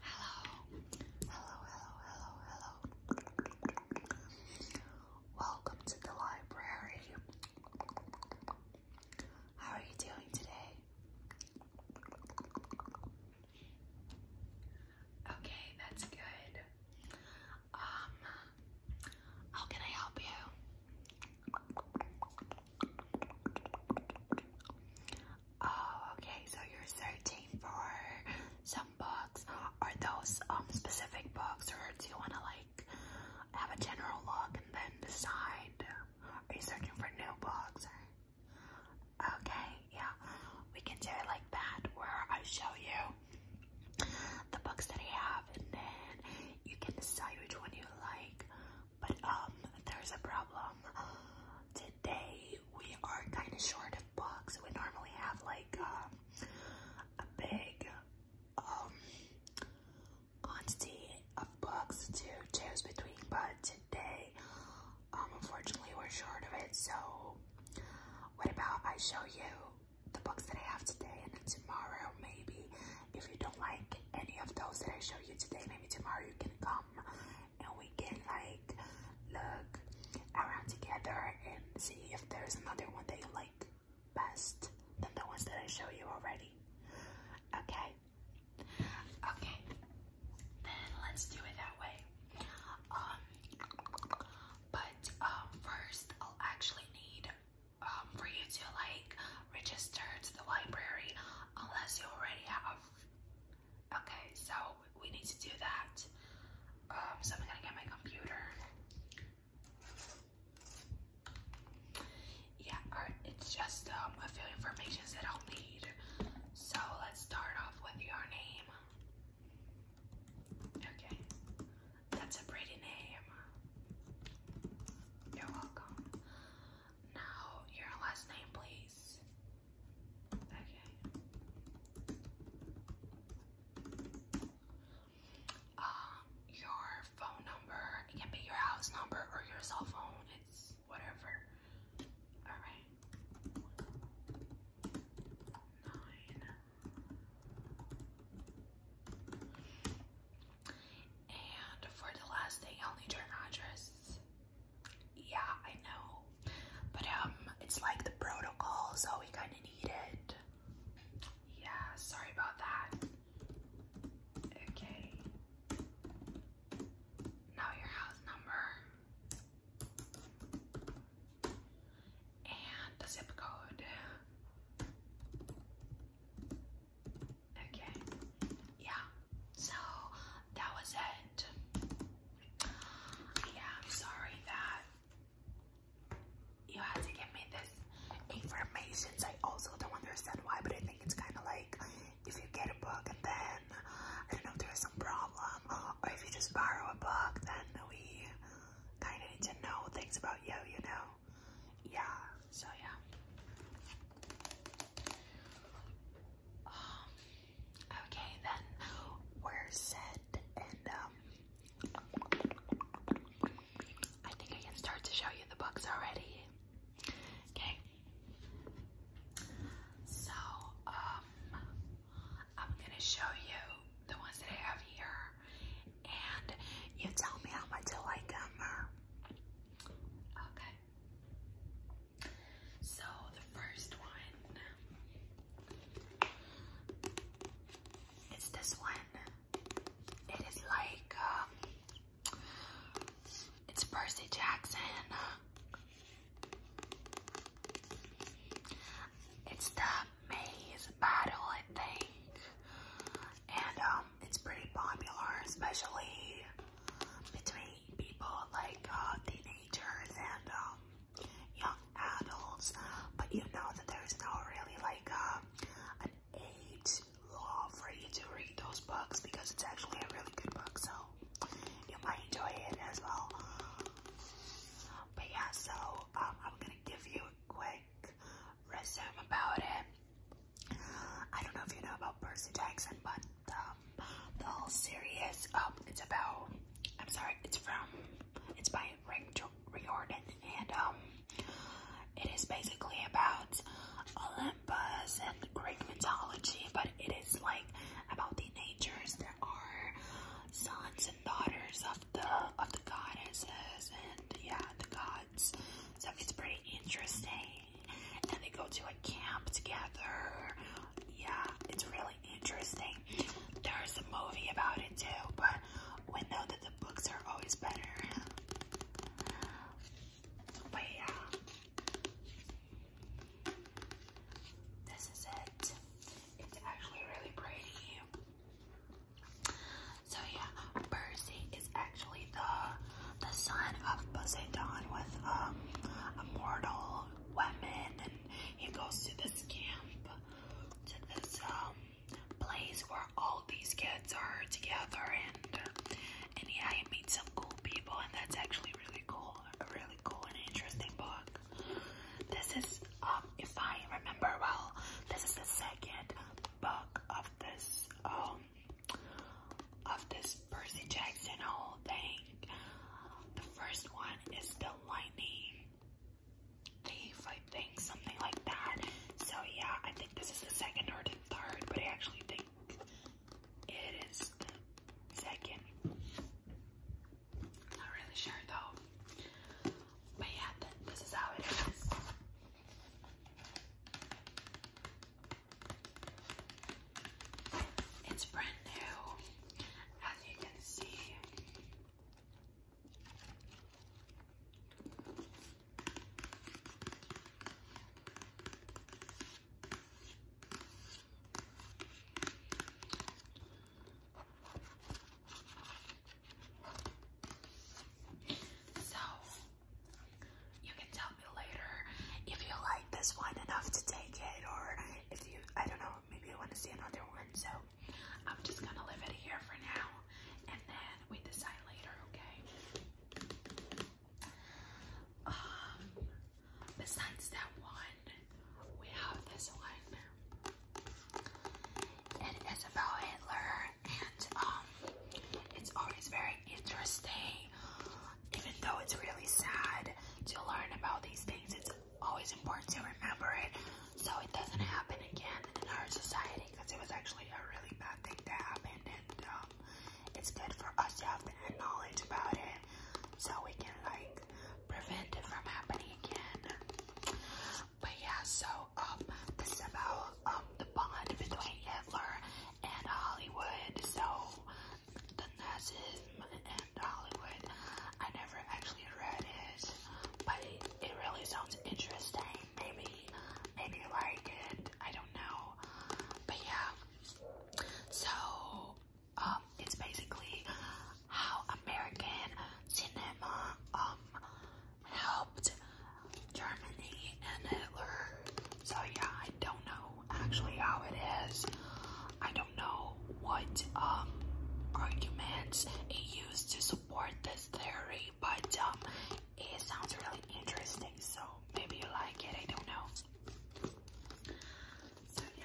Hello, hello, hello, hello, Welcome to the library. How are you doing today? Okay, that's good. Um, how can I help you? Oh, okay. So you're searching for some books. Are those um specific books, or do you want to like have a general look and then decide? Are you searching for new books? Or... Okay, yeah, we can do it like that, where I show you the books that I have, and then you can decide which one you like. But um, there's a problem. Today we are kind of short of books. We normally have like um, a big um, quantity of books to choose between, but today, um, unfortunately, we're short of it. So, what about I show you the books that I have today, and then tomorrow, maybe if you don't like any of those that I show you today, maybe tomorrow you can come and we can like look around together and see if there's another one that you like best than the ones that I show you already. Okay. Okay. Then let's do it that way. Um but um first I'll actually need um for you to like register to the library unless you already have Okay, so we need to do that. Um, so I'm gonna get my computer. Yeah, it's just um, a few informations that I'll need. So let's start off with your name. Okay, that's a pretty name. You're welcome. Now, your last name, please. Okay. Um, your phone number. It can be your house number or your cell phone. It's whatever. All right. Nine. And for the last thing, I'll need your address. Yeah, I know. But um, it's like the protocol, so we kind of need it. Yeah, sorry about that. Okay. Now your house number and the zip code. Okay. Yeah. So that was it yeah, I'm sorry that you had to give me this information. I also don't understand why, but I think it's kind of like if you get a book and then I don't know if there's some problem, or if you just borrow a book, then we kind of need to know things about you, you know? Yeah, so yeah. Um, okay, then we're set, and um, I think I can start to show you the books already. Okay. So, um, I'm gonna show you the ones that I have here, and you tell me how much you like them. Okay. So the first one is this one. It is like um, it's Percy Jackson. It's the maze battle, I think. And um it's pretty popular, especially between people like uh, teenagers and um, young adults, but you know that there's no really like uh, an age law for you to read those books because it's actually a really good book, so you might enjoy it as well. But yeah, so um, I'm gonna give you a quick resume about it. I don't know if you know about Percy Jackson, but the, um, the whole series. Um, it's about, I'm sorry, it's from, it's by Rick Riordan, and um, it is basically about Olympus and Greek mythology, but it is like about the natures There are sons and daughters of the of the goddesses and yeah, the gods. So it's pretty interesting, and they go to a camp together. Yeah, it's really interesting. There's a movie about it too, but we know that the books are always better. But yeah, this is it. It's actually really pretty. So yeah, Percy is actually the the son of Poseidon with um, a mortal women and he goes to this camp to this um place where all these kids are together and and yeah he meets some cool people and that's actually really cool a really cool and interesting book this is um if I remember well this is the second book of this um of this Percy Jackson whole thing the first one is the lightning thief, I think, something like that. So yeah, I think this is the second or the third, but I actually think it is the second. Not really sure though. But yeah, this is how it is. It's brand new, as you can see. So, you can tell me later if you like this one enough to take it or if you, I don't know, maybe I want to see another one. So I'm just going to leave it here for now. And then we decide later, okay? Um, besides that one, we have this one. It is about Hitler and um, it's always very interesting even though it's really sad to learn about these things, it's always important to remember it so it doesn't happen again in our society because it was actually a really bad thing that happened and um, it's good for us to have that knowledge about it so we can like prevent it from happening again but yeah so um this is about um the bond between Hitler and Hollywood so the Nazism and to Hollywood. I never actually read it, but it, it really sounds interesting. Maybe, maybe you like it. I don't know, but yeah. So, um, it's basically how American cinema um helped Germany and Hitler. So yeah, I don't know actually how it is. I don't know what um arguments it used to support this theory, but um it sounds really interesting, so maybe you like it, I don't know. So yeah.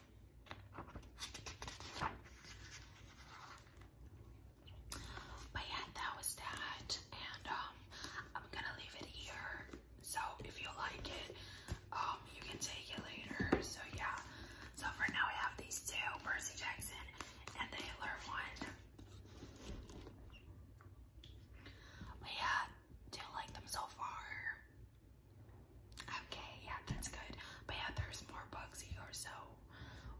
But yeah, that was that. And um, I'm gonna leave it here. So if you like it, um, you can take it later. So yeah. So for now I have these two, Percy Jackson and the Hitler one. But yeah, do like them so far? Okay, yeah, that's good. But yeah, there's more bugs here, so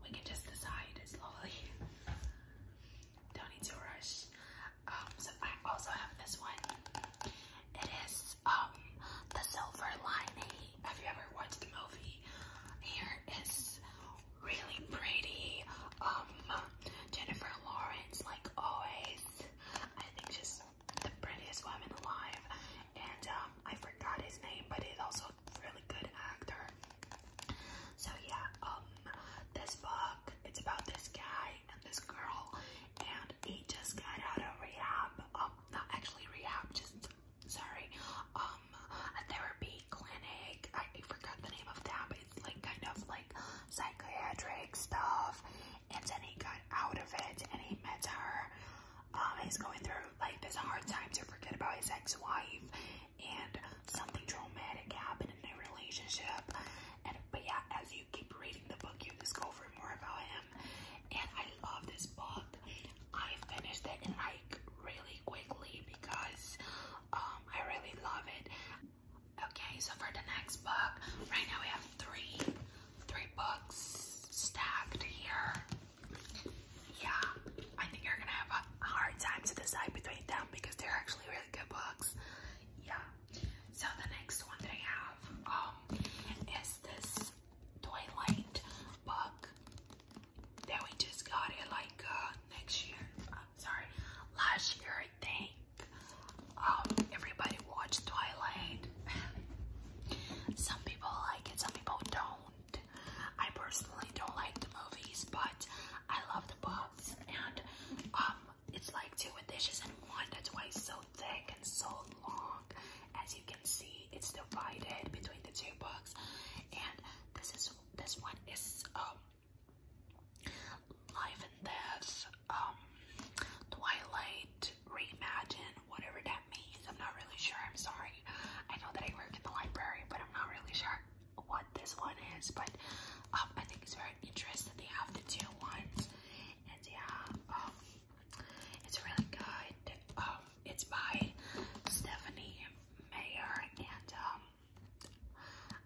we can just decide slowly. Don't need to rush. Um, so I also have this one. It is um the Silver Lining. Have you ever watched the movie? Here is really pretty. Um, Jennifer Lawrence, like always. I think she's the prettiest woman alive, and um, I forgot his name, but he's also a really good actor. So yeah, um, this book it's about this guy and this girl, and he just got out of rehab. Um, not actually rehab, just sorry, um, a therapy clinic. I, I forgot the name of that, but it's like kind of like psychiatric stuff. And then he got out of it, and he met her um, is going through like this hard time to forget about his ex-wife and something traumatic happened in their relationship. And but yeah, as you keep reading the book, you discover more about him. And I love this book. I finished it in like really quickly because um I really love it. Okay, so for the next book, right now we have three three books stacked here yeah, I think you're gonna have a hard time to decide between them because they're actually really good books. Yeah. So the next one that I have um is this Twilight book that we just got it like uh next year. I'm sorry, last year I think. Um everybody watched Twilight. Some people like it, some people don't. I personally don't like the movies, but I love the books. and um, it's like two dishes in one. That's why it's so thick and so long. As you can see, it's divided between the two books, and this is this one is um life and death, um, Twilight, repaint, reimagine, whatever that means. I'm not really sure. I'm sorry. I know that I work in the library, but I'm not really sure what this one is. But um, I think it's very interesting. They have the two ones, and yeah, um, it's really good. Um, it's by Stephanie Mayer, and um,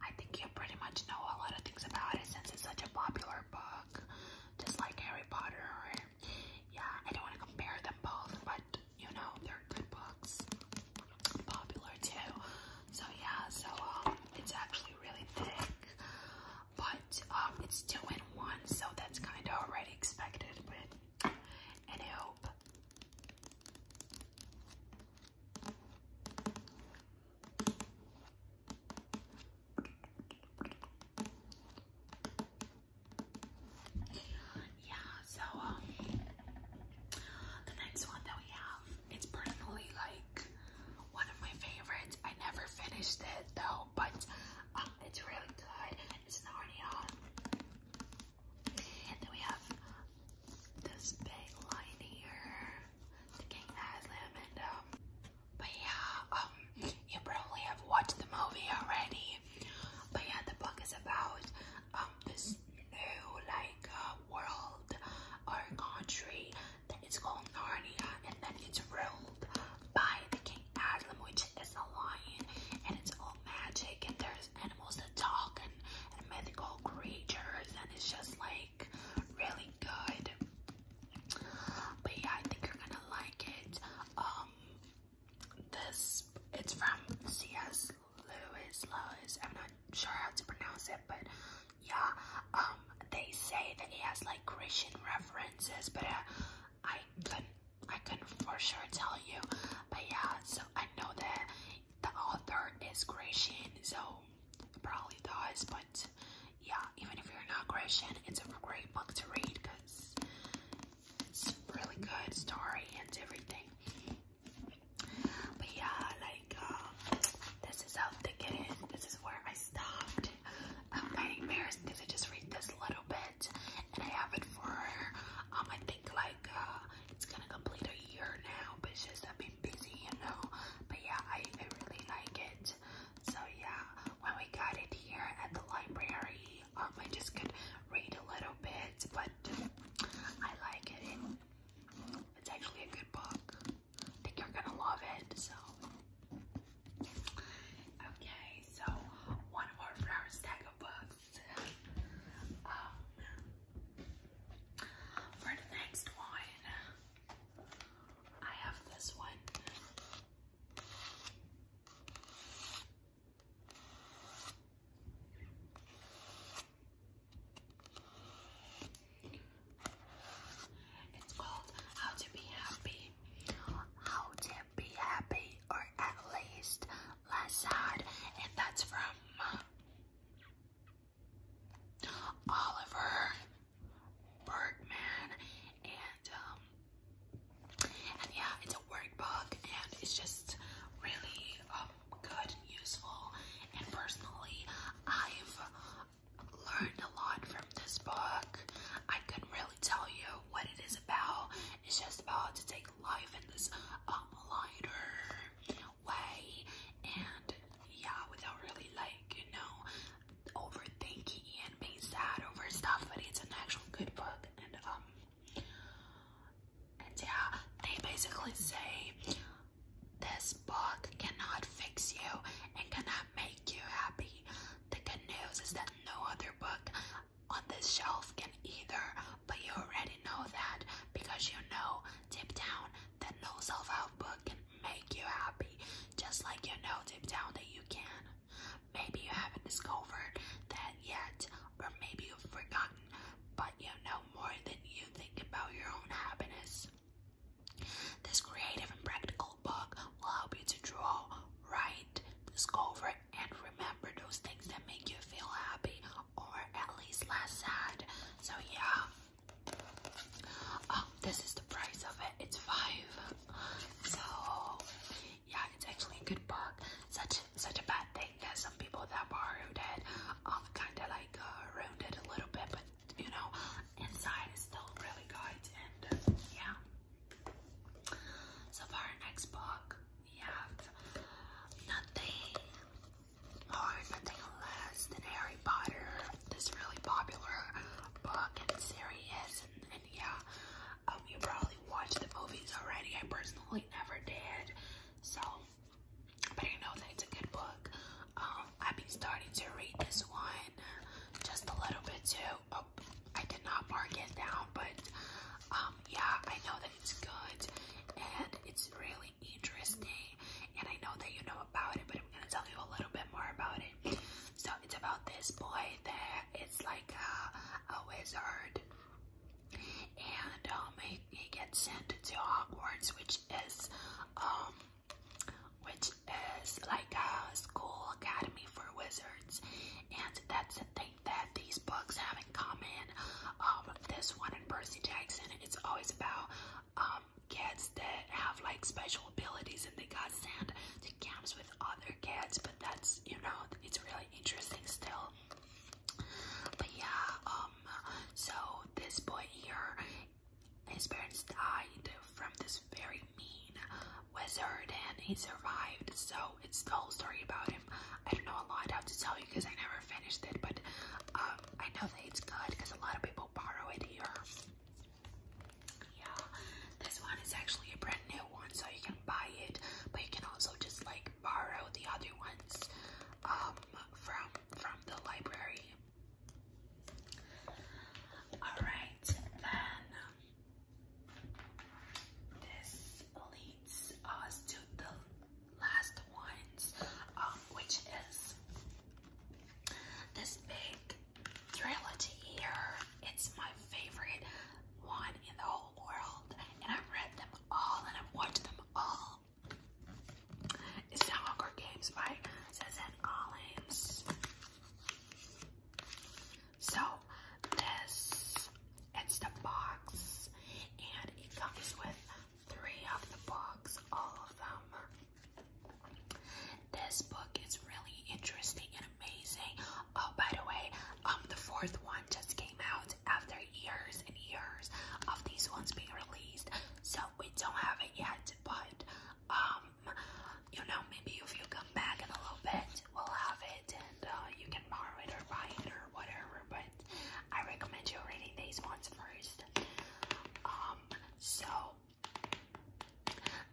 I think you pretty much know a lot of things about it since it's such a popular book, just like Harry Potter. Or, yeah, I don't want to compare them both, but you know, they're good books, popular too. So yeah, so um, it's actually really thick, but um, it's two in one, so that's kind of already expected, but any hope. Yeah, so um the next one that we have, it's personally like one of my favorites. I never finished it though, but um, it's really good. It's Narnia. And then we have this big line here. The king has and um but yeah, um you probably have watched the movie already. But yeah, the book is about um this new like uh, world or country that is called Narnia, and then it's ruled by the King Adam, which is a lion, and it's all magic, and there's animals that talk and, and mythical creatures, and it's just like really good. But yeah, I think you're gonna like it. Um, this it's from C.S. Lewis, Lewis. I'm not sure how to pronounce it, but yeah. Um, they say that he has like Christian references, but uh, I couldn't, I couldn't for sure tell you. But yeah, so I know that the author is Christian, so probably does. But yeah, even if you're not Christian, it's a great book to read because it's really good story and everything. But yeah, like um, this is how thick it is. This is where I stopped. I'm kind of because I just read this little bit, and I have it for um I think like uh, it's gonna complete a year now. But it's just I've been busy, you know. But yeah, I I really like it. So yeah, when we got it here at the library, um, I just could read a little bit, but I like it. It's actually a good book. I think you're gonna love it. So, okay, so one more for our stack of books. Um, for the next one, I have this one. It's called How to Be Happy. How to Be Happy, or at least less sad, and that's from Oliver Bergman and and um and yeah it's a workbook and it's just really um good and useful and personally I've learned a lot from this book I couldn't really tell you what it is about it's just about to take life in this um lighter way and yeah without really like you know overthinking and being sad over stuff but it's an actual good book and um and yeah, they basically say this book cannot fix you and cannot make you happy. The good news is that no other book on this shelf can either, but you already know that because you know deep down that no self-help book can make you happy, just like you know deep down that you can. Maybe you haven't discovered that yet, or maybe you've forgotten, but you know more than you think about your own happiness. This creative and practical book will help you to draw, write, discover, and remember those things that make you feel happy or at least less sad. So, yeah. Um, this is the price of it. It's five. So, yeah, it's actually a good book. Such such a bad thing that some people that borrowed it um kind of like uh, ruined it a little bit, but you know, inside is still really good. And uh, yeah. So for our next book, we have nothing or nothing less than Harry Potter. This really popular book and series, and, and yeah, um, you probably watched the movies already. I personally never did. So, but I know that it's a good book. Um, I've been starting to read this one just a little bit too. Oh, I did not mark it down, but um, yeah, I know that it's good and it's really interesting. And I know that you know about it, but I'm gonna tell you a little bit more about it. So it's about this boy that it's like a, a wizard and um, he, he gets sent to Hogwarts, which is um, which is like a school academy for wizards, and that's the thing that these books have in common. Um, this one in Percy Jackson, it's always about um kids that have like special abilities, and they got sent to camps with other kids, but that's you know it's really interesting still. But yeah, um, so this boy here, his parents died from this very mean wizard, and he survived. So it's the whole story about him. I don't know a lot how to tell you because I never finished it, but um, I know that it's good because a lot of people borrow it here. Yeah, this one is actually a brand new one, so you can buy it, but you can also just like borrow the other ones um, from from the library. Alright, then this leads us to the last ones, um, which is this big trilogy here. It's my favorite one in the whole world, and I've read them all, and I've watched them all. It's the Hunger Games by Suzanne Collins. So this, it's the box, and it comes with three of the books, all of them. This book is really interesting, amazing. Oh, by the way, um, the fourth one just came out after years and years of these ones being released, so we don't have it yet. But um, you know, maybe if you come back in a little bit, we'll have it, and uh, you can borrow it or buy it or whatever. But I recommend you reading these ones first. Um, so.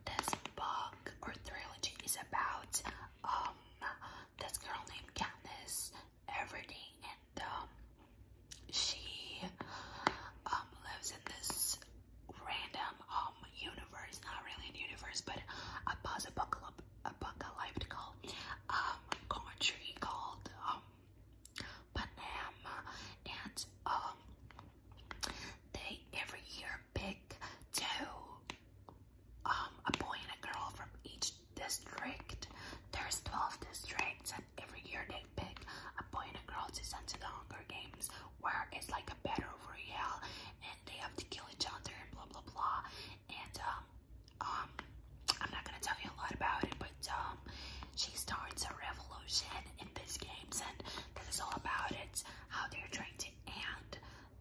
This book or trilogy is about um this girl named Katniss Everdeen and um she um lives in this random um universe, not really a universe, but a buzz apocalypse apocalyptical um country called um Panama and um they every year pick two um, a boy and a girl from each district. There's 12 districts, and every year they pick a boy and a girl to send to the Hunger Games, where it's like a battle royale, and they have to kill each other and blah blah blah. And um, um, I'm not gonna tell you a lot about it, but um, she starts a revolution in these games, and this is all about it. How they're trying to end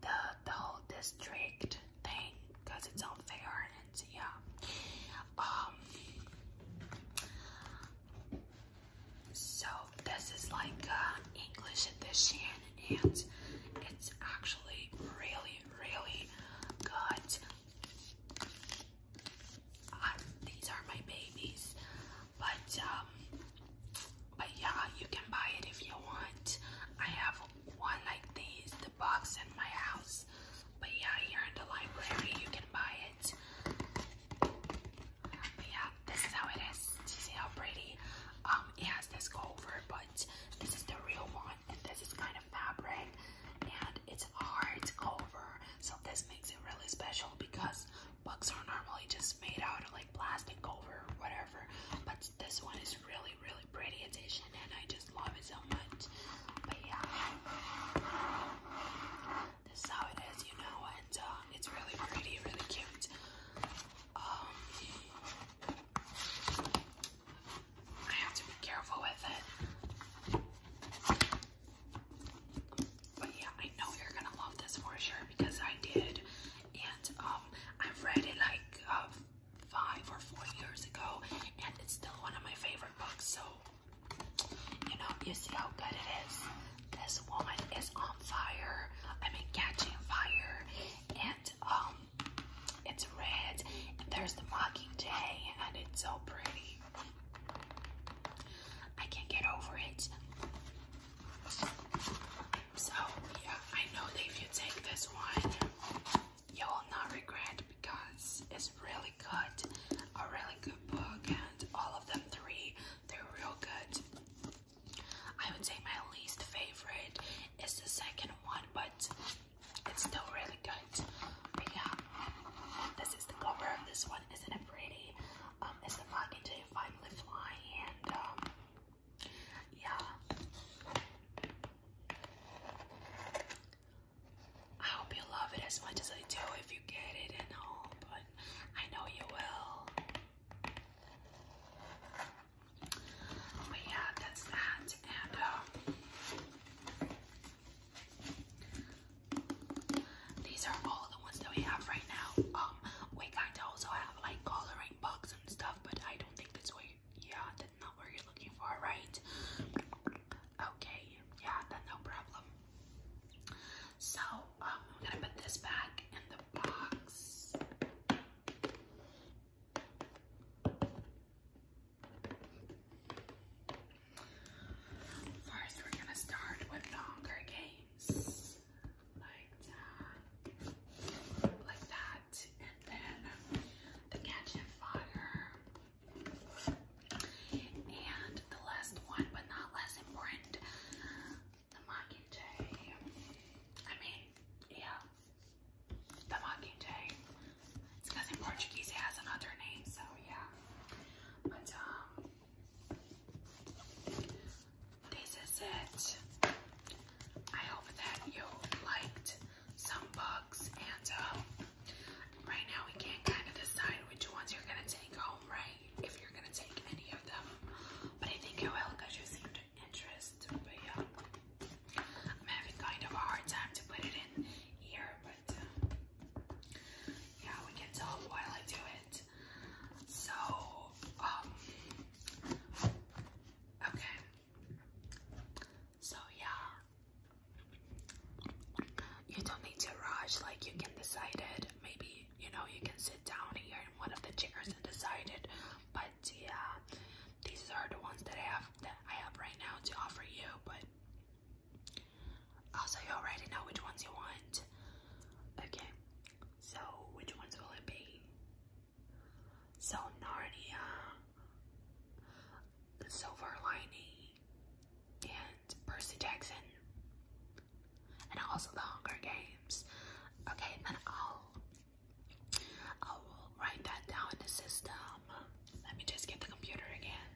the the whole district thing because it's unfair and yeah. Um so this is like uh, English edition and it's actually really really good. these are my babies, but um, but yeah, you can buy it if you want. I have one like these, the box in my house. But yeah, here in the library you can buy it. yeah, this is how it is. You see how pretty? Um, it has this cover, but this is the real one, and this is kind of fabric, and it's a hard cover. So this makes it really special because books are normally just made out of like plastic cover or whatever, but this one is really, really pretty edition and I just love it so much. But yeah, this how it is, you know, and um, it's really pretty, really cute. Um, I have to be careful with it. But yeah, I know you're gonna love this for sure because I did, and um, I've read it like um, five or four years ago, and it's still one of my favorite books. So, you know, you see how good it is. This woman is on fire. I mean, catching fire, and um, it's red. And there's the mockingjay, and it's so pretty. I can't get over it. So yeah, I know that if you take this one, you will not regret because it's really good, a really good book, and all of them three, they're real good. I would say my least favorite is the second one, but it's still really good. But yeah, this is the cover of this one. Isn't it pretty? Um, it's the to finally fly and um, yeah. I hope you love it as much as I do if you get it and all, but I know you will. But yeah, that's that. And um, these are all the ones that we have right now. Um, we kind of also have like coloring books and stuff, but I don't think that's what yeah, that's not what you're looking for, right? Okay, yeah, that's no problem. So, um, I'm gonna put this back in the box. First, we're gonna start with the Games. Like that. Like that and then the Catching Fire. And the last one, but not less important, the Mockingjay. I mean, yeah, the Mockingjay. It's because Portuguese has another name, so yeah. But, um, this is it. I hope that you liked some books, and um, right now we can't kind of decide which ones you're gonna take home, right? If you're gonna take any of them, but I think you will because you seemed interested. But yeah, I'm having kind of a hard time to put it in here, but uh, yeah, we can talk while I do it. So, um, okay, so yeah, you don't need to rush. Like you can decide it. Maybe you know you can sit down here in one of the chairs and decide it. But yeah, these are the ones that I have that I have right now to offer you. But also, you already know which ones you want. Okay, so which ones will it be? So Narnia, Silver Lining, and Percy Jackson, and also The Hunger Games. Okay, then I'll I will write that down in the system. Let me just get the computer again.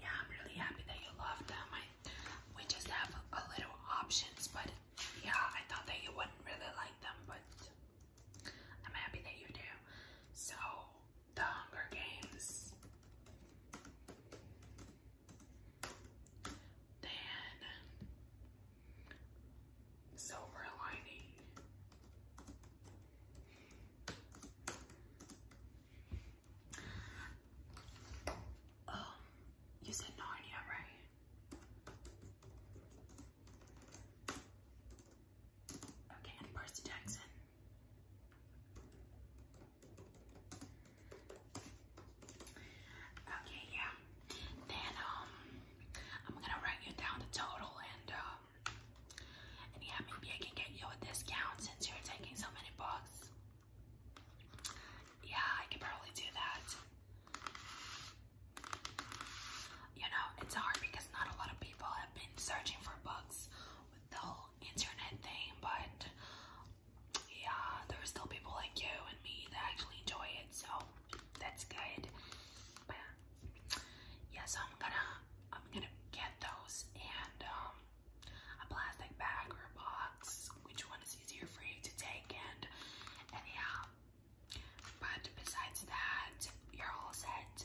Yeah, I'm really happy that you love them. We just have a little options, but yeah, I thought that you wouldn't really like them, but I'm happy that you do. So, The Hunger Games. Then, Silver Lining. Oh, you said Narnia, right? Okay, Percy Jackson. Okay, yeah. Then um, I'm gonna write you down the total, and um, and yeah, maybe I can get you a discount since you're taking so many books. Yeah, I could probably do that. You know, it's hard because not a lot of people have been searching for books with the whole internet thing, but yeah, there are still people like you and me that actually enjoy it, so that's good. But yeah, so I'm gonna I'm gonna get those and um a plastic bag or a box which one is easier for you to take and and yeah. But besides that, you're all set.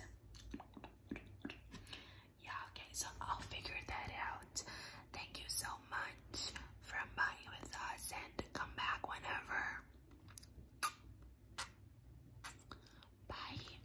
Yeah, okay, so I'll figure that out. Thank you so much for buying with us and come back whenever. Bye.